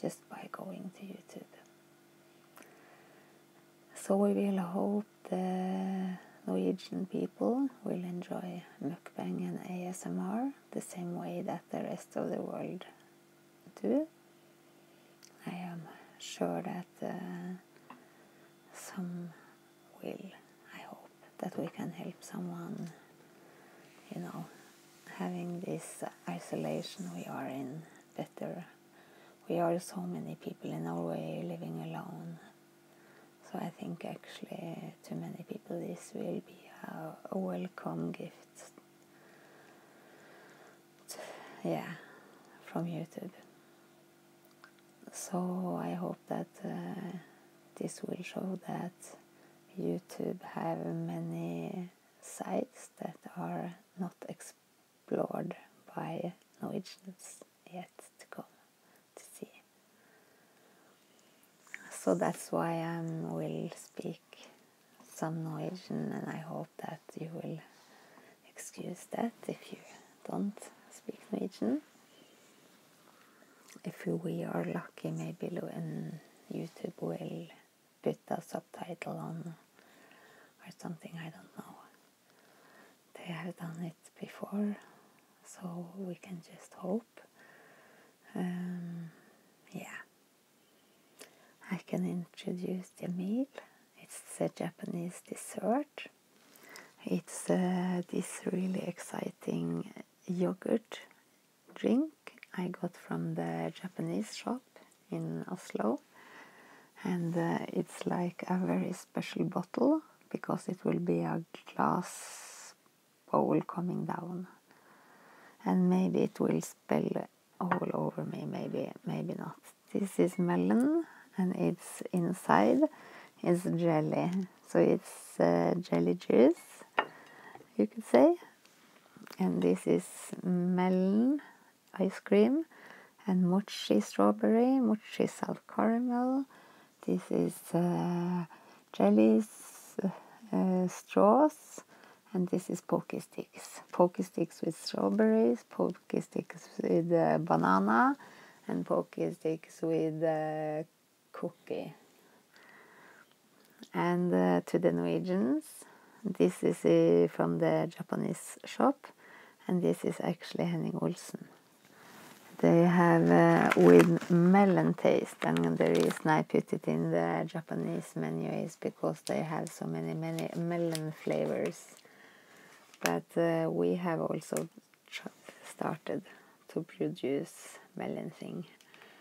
just by going to YouTube. So we will hope the Norwegian people will enjoy mukbang and ASMR the same way that the rest of the world do. I am sure that uh, some will. I hope that we can help someone, you know, having this isolation we are in better. We are so many people in Norway living alone. So I think actually to many people this will be a, welcome gift. Yeah, from YouTube. So I hope that uh, this will show that YouTube have many sites that are not explored by Norwegians yet to come to see. So that's why I will speak some Norwegian, and I hope that you will excuse that if you don't speak Norwegian. If we are lucky, maybe and YouTube will put the subtitle on or something, I don't know. They have done it before, so we can just hope. Um, yeah. I can introduce the meal. It's a Japanese dessert. It's uh, this really exciting yogurt drink I got from the Japanese shop in Oslo. And uh, it's like a very special bottle because it will be a glass bowl coming down. And maybe it will spill all over me, maybe, maybe not. This is melon and it's inside is jelly. So it's uh, jelly juice, you could say and this is melon ice cream and mochi strawberry, mochi salt caramel. This is uh, jellies, uh, straws, and this is poke sticks. Poke sticks with strawberries, poke sticks with uh, banana, and poke sticks with uh, cookie. And uh, to the Norwegians, this is uh, from the Japanese shop, and this is actually Henning Olsen. They have uh, with melon taste, and the reason I put it in the Japanese menus because they have so many, many melon flavors. But we have also started to produce melon thing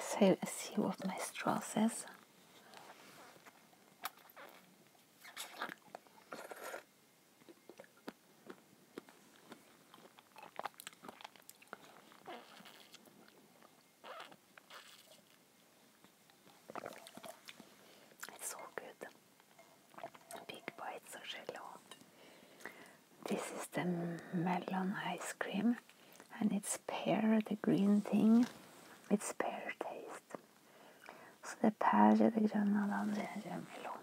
So let's see what my straw says. It's all good. Big bites of jello. This is the melon ice cream and it's pear, the green thing. It's pear taste. So the er pear, pär, det gröna, er det andra är er melon,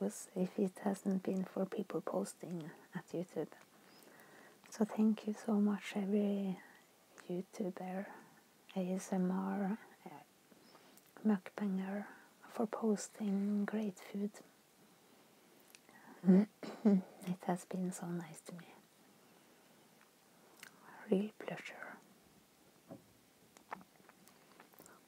was if it hasn't been for people posting at YouTube. So thank you so much every YouTuber, ASMR, eh, Macbanger, for posting great food. Mm-hmm. it has been so nice to me. Real pleasure.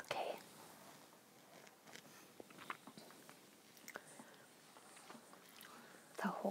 Okay. The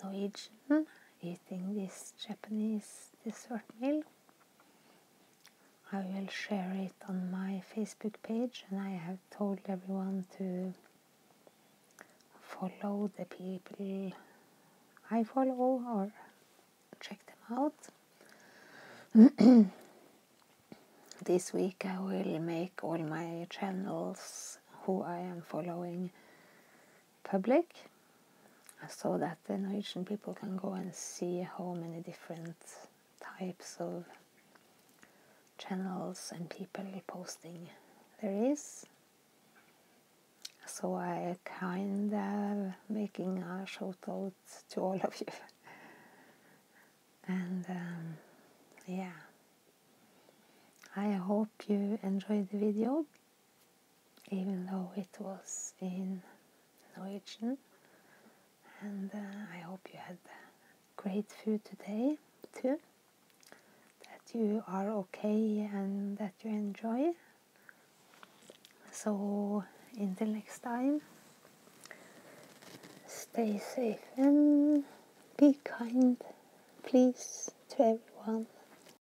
Norwegian, eating this Japanese dessert meal. I will share it on my Facebook page, and I have told everyone to follow the people I follow or check them out. this week I will make all my channels who I am following public. So that the Norwegian people can go and see how many different types of channels and people posting there is. So I kind of making a shout out to all of you. and um, yeah, I hope you enjoy the video even though it was in Norwegian. And uh, I hope you had great food today too. That you are okay and that you enjoy. So until next time, stay safe and be kind, please, to everyone.